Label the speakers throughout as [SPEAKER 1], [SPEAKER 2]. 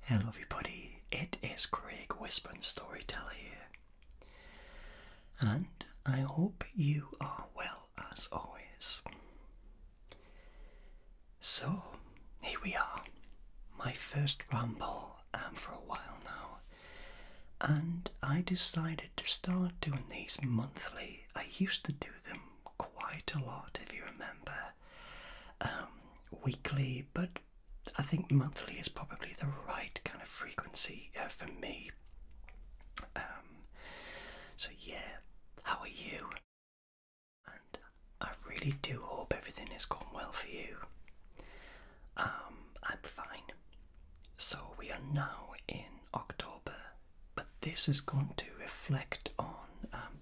[SPEAKER 1] Hello everybody, it is Craig Wisburn Storyteller here. And I hope you are well as always. So, here we are. My first ramble um, for a while now. And I decided to start doing these monthly. I used to do them quite a lot if you remember. Um, weekly, but I think monthly is probably the right kind of frequency uh, for me. Um, so, yeah, how are you? And I really do hope everything has gone well for you. Um, I'm fine. So, we are now in October, but this is going to reflect on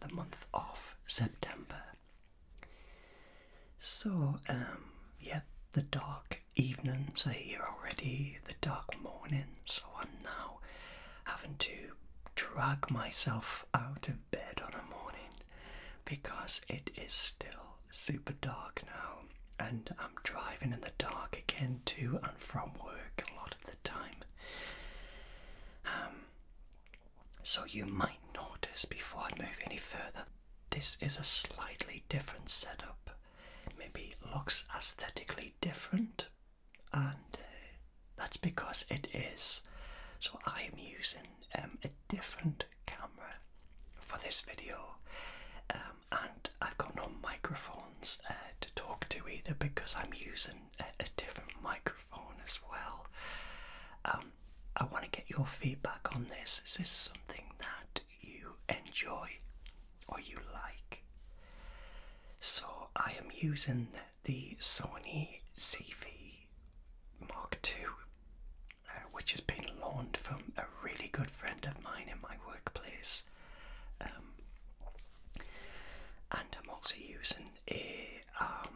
[SPEAKER 1] the month of September. So, um, yeah, the dark evenings are here already, the dark mornings. so I'm now having to drag myself out of bed on a morning because it is still super dark now and I'm driving in the dark again to and from work a lot of the time. Um, so you might notice before I move any further, this is a slightly different setup. Maybe looks aesthetically different, and uh, that's because it is. So I am using um, a different camera for this video, um, and I've got no microphones uh, to talk to either because I'm using a, a different microphone. Phone as well. Um, I want to get your feedback on this. Is this something that you enjoy or you like? So, I am using the Sony CV Mark II, uh, which has been loaned from a really good friend of mine in my workplace. Um, and I'm also using a eh, um,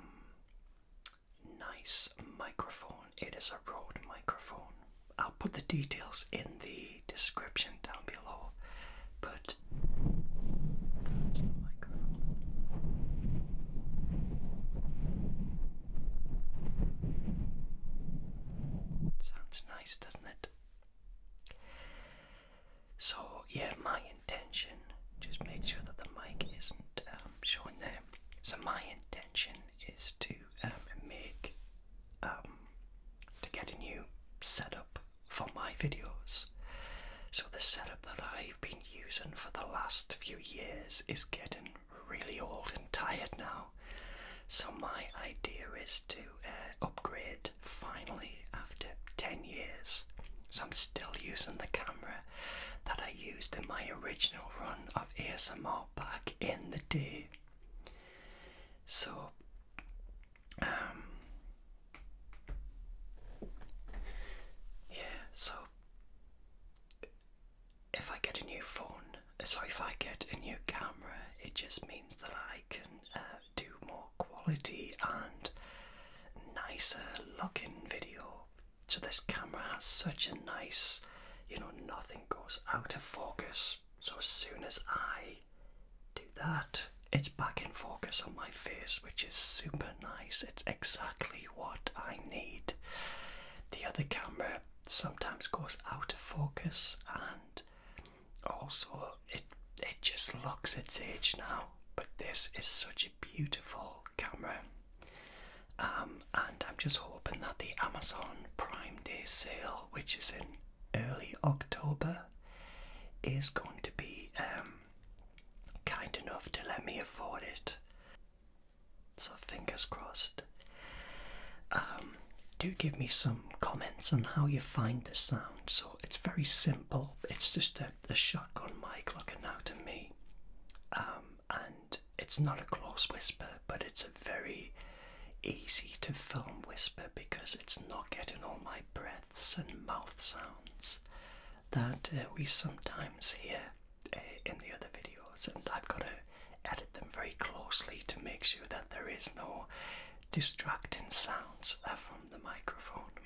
[SPEAKER 1] nice microphone. It is a Rode microphone. I'll put the details in the description down below, but Sounds nice, doesn't it? So yeah, my intention, just make sure that the mic isn't um, showing there. So my intention is to um, make, um, to get a new setup for my videos. So the setup that I've been using for the last few years is getting really old and tired now. So my idea is to uh, upgrade finally after 10 years. So I'm still using the camera that I used in my original run of ASMR back in the day. So, um, yeah, so if I get a new phone, sorry, if I get a new camera, it just means that I can uh, do more quality and nicer looking video. So this camera has such a nice, you know, nothing goes out of focus. So as soon as I do that, it's back in focus on my face, which is super nice. It's exactly what I need. The other camera sometimes goes out of focus and also it it just looks its age now. But this is such a beautiful camera. Um, and I'm just hoping that the Amazon Prime Day sale, which is in early October, is going to be um, kind enough to let me afford it. So fingers crossed. Um, do give me some comments on how you find the sound. So it's very simple. It's just a, a shotgun mic looking now to me. Um, and it's not a close whisper, but it's a very easy to film whisper because it's not getting all my breaths and mouth sounds that uh, we sometimes hear uh, in the other videos. And I've got to edit them very closely to make sure that there is no distracting sounds uh, from the microphone.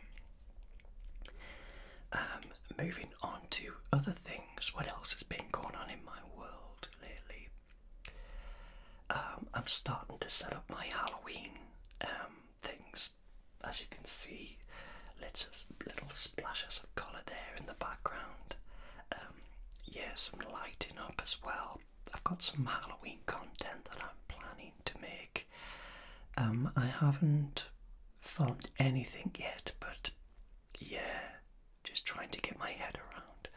[SPEAKER 1] Um, moving on to other things, what else has been going on in my world lately? Um, I'm starting to set up my Halloween um, things. As you can see, little, splashes of colour there in the background. yeah, some lighting up as well. I've got some Halloween content that I'm planning to make. Um, I haven't filmed anything yet, but yeah, just trying to get my head around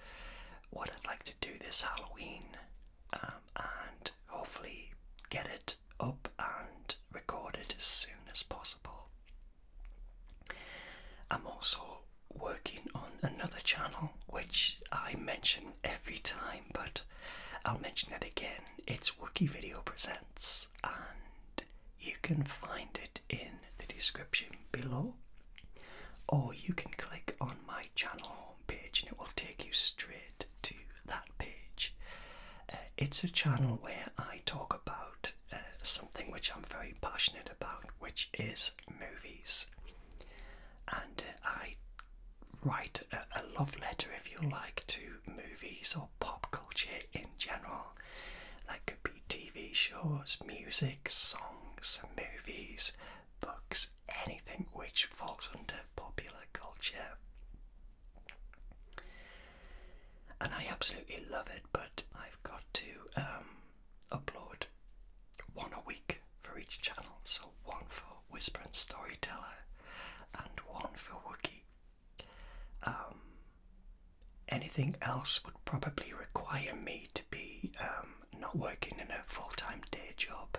[SPEAKER 1] what I'd like to do this Halloween um, and hopefully get it up and recorded as soon as possible. I'm also working on another channel which I mentioned every time, but I'll mention it again. It's Wookie Video Presents, and you can find it in the description below, or you can click on my channel homepage and it will take you straight to that page. Uh, it's a channel where I talk about uh, something which I'm very passionate about, which is movies. And uh, I write a, love letter, if you like, to movies or pop culture in general. That could be TV shows, music, songs, movies, books, anything which falls under popular culture. And I absolutely love it, but I've got to um, upload one a week for each channel, so one for Whisper and Storyteller and one for Wookie. Um, anything else would probably require me to be um, not working in a full time day job.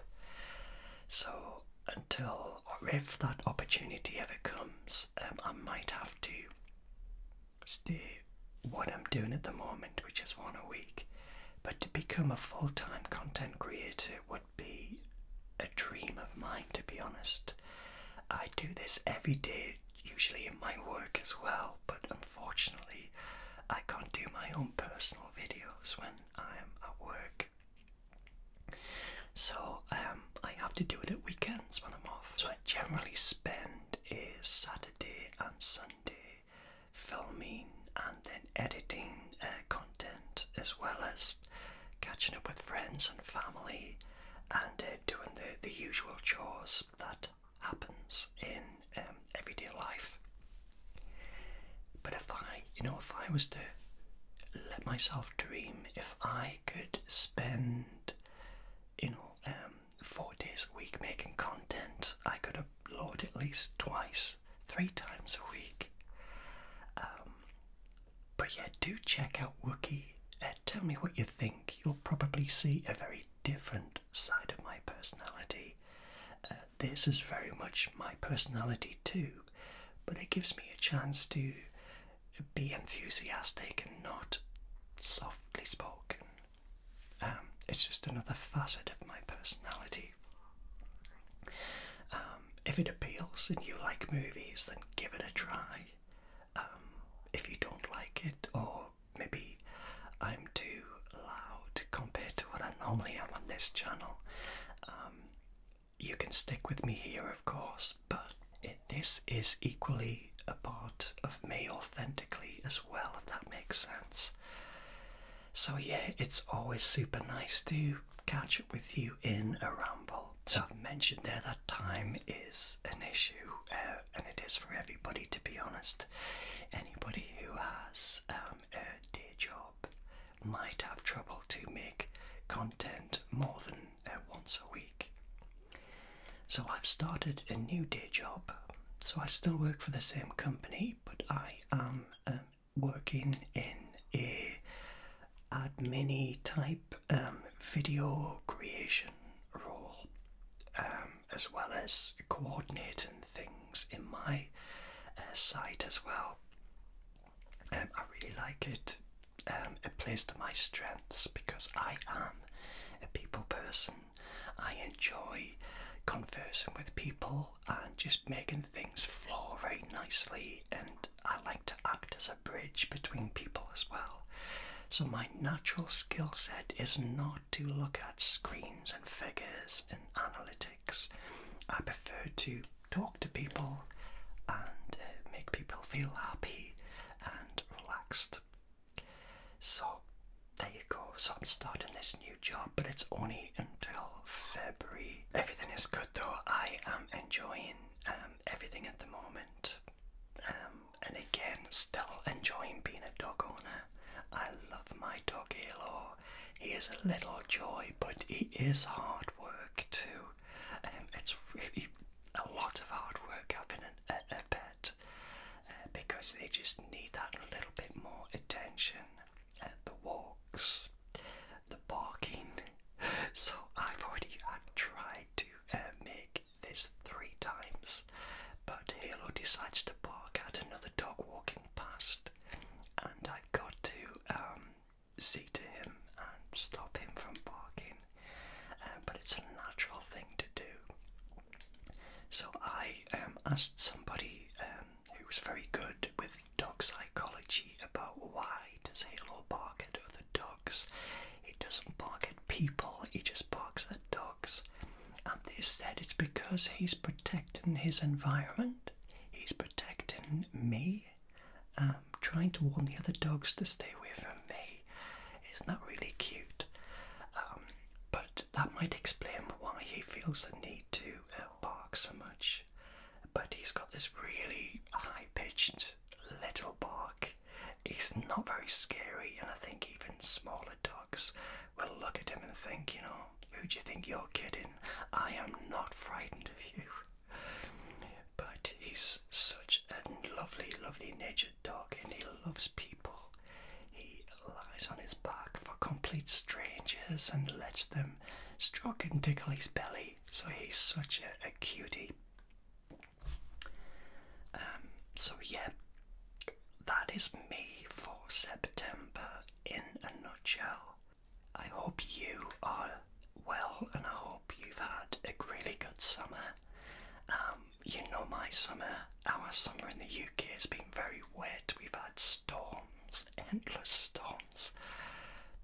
[SPEAKER 1] So, until or if that opportunity ever comes, um, I might have to stay what I'm doing at the moment, which is one a week, but to become a full time content creator would be a dream of mine, to be honest. I do this every day, usually in my work as well, but unfortunately, I can't do my own personal videos when I'm at work. So um, I have to do it at weekends when I'm off. So I generally spend a Saturday and Sunday filming and then editing uh, content as well as catching up with friends and family and uh, doing the, the usual chores that happens in um, everyday life. But if I, you know, if I was to let myself dream, if I could spend, you know, um, four days a week making content, I could Lord, at least twice, three times a week. Um, but yeah, do check out Wookie. Uh, tell me what you think. You'll probably see a very different side of my personality. Uh, this is very much my personality too, but it gives me a chance to be enthusiastic and not softly spoken. Um, it's just another facet of my personality. Um, if it appeals and you like movies, then give it a try. Um, if you don't like it, or maybe I'm too loud compared to what I normally am on this channel, um, you can stick with me here, of course, but this is equally a part of me authentically as well, if that makes sense. So, yeah, it's always super nice to catch up with you in a ramble. So, I've mentioned there that time is an issue, uh, and it is for everybody to be honest. Anybody who has um, a day job might have trouble to make content more than uh, once a week. So, I've started a new day job. So, I still work for the same company, but I am um, um, working in a admin type um, video creation role, as well as coordinating things in my uh, site as well. Um, I really like it. Um, it plays to my strengths because I am a people person. I enjoy conversing with people and just making things flow very nicely, and I like to act as a bridge between people as well. So, my natural skill set is not to look at screens and figures and analytics. I prefer to talk to people and uh, make people feel happy and relaxed. So, there you go. So I'm starting this new job, but it's only until February. Everything is good though. I am enjoying um, everything at the moment. Um, and again, still enjoying being a dog owner. I love my dog Halo. He is a little joy, but he is hard work too. Um, it's really a lot of hard work having an, a, a pet. Uh, because they just need that little bit more attention. Uh, the walks, the barking. So I've already tried to uh, make this three times, but Halo decides to bark at another dog walking past, and I've got to um, see to him and stop him from barking. Uh, but it's a natural thing to do. So I um, asked somebody um, who was very good with dog psychology about why does Halo bark at other dogs? He doesn't bark at people, he just barks at dogs. And they said it's because he's protecting his environment, he's protecting me, um, trying to warn the other dogs to stay away from me. It's not really cute. but that might explain why he feels the need to uh, bark so much. But he's got this really high pitched little bark. It's not very scary, and I think even smaller dogs will look at him and think, you know, who do you think you're kidding? I am not frightened of you. But he's such a lovely, lovely natured dog, and he loves people. He lies on his back for complete strangers and lets them stroke and tickle his belly. So he's such a, cutie. Um, so, yeah, that is me for September in a nutshell. I hope you are well and I hope you've had a really good summer. Um, you know my summer, our summer in the UK has been very wet. We've had storms, endless storms,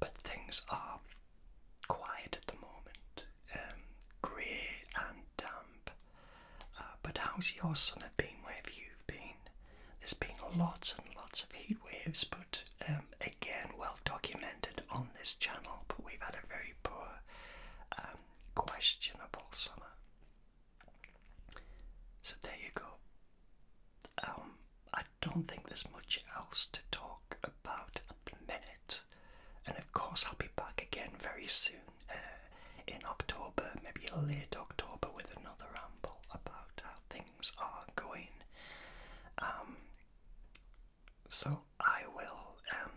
[SPEAKER 1] but things are quiet at the moment, um, grey and damp. Uh, but how's your summer been? Where have you been? There's been lots and lots of heat waves, but um, again, well documented on this channel. But we've had a very poor, um, questionable summer. So there you go. Um, I don't think there's much else to talk about at minute, and of course I'll be back again very soon uh, in October, maybe late October, with another ramble about how things are going. Um, so I will um,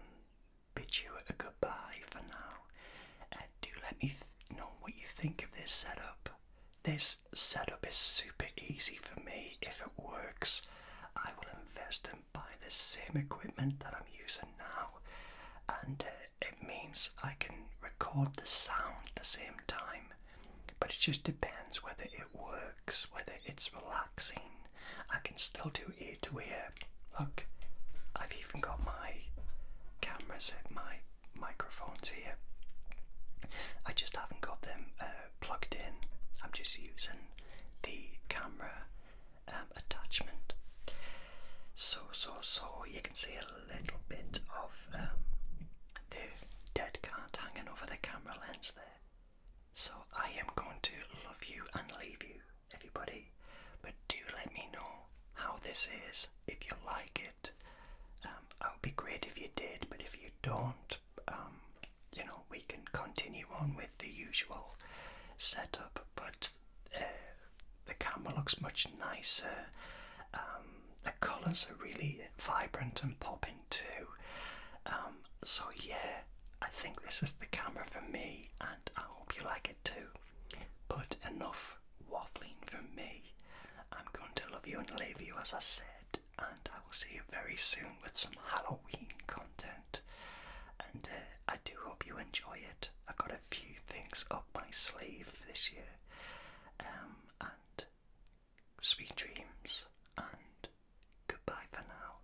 [SPEAKER 1] bid you a goodbye for now. Uh, do let me know what you think of this setup. This setup is super easy for me. If it works, I will invest and buy the same equipment that I'm using now, and uh, it means I can record the sound at the same time. But it just depends whether it works, whether it's relaxing. I can still do ear to ear Look, I've even got my cameras at my microphones here. I just haven't got them uh, plugged in. I'm just using the camera um, attachment. So, so, so you can see a little bit of um, the dead cat hanging over the camera lens there. So I am going to love you and leave you everybody. But do let me know how this is, if you like it. Um, would be great if you did, but if you don't, um, you know, we can continue on with the usual setup. But uh, the camera looks much nicer. Um, the colours are really vibrant and popping too. Um, so yeah, I think this is the camera for me, I hope you like it too. But enough waffling from me. I'm going to love you and leave you as I said, and I will see you very soon with some Halloween content. And uh, I do hope you enjoy it. I've got a few things up my sleeve this year. Um, and sweet dreams, and goodbye for now.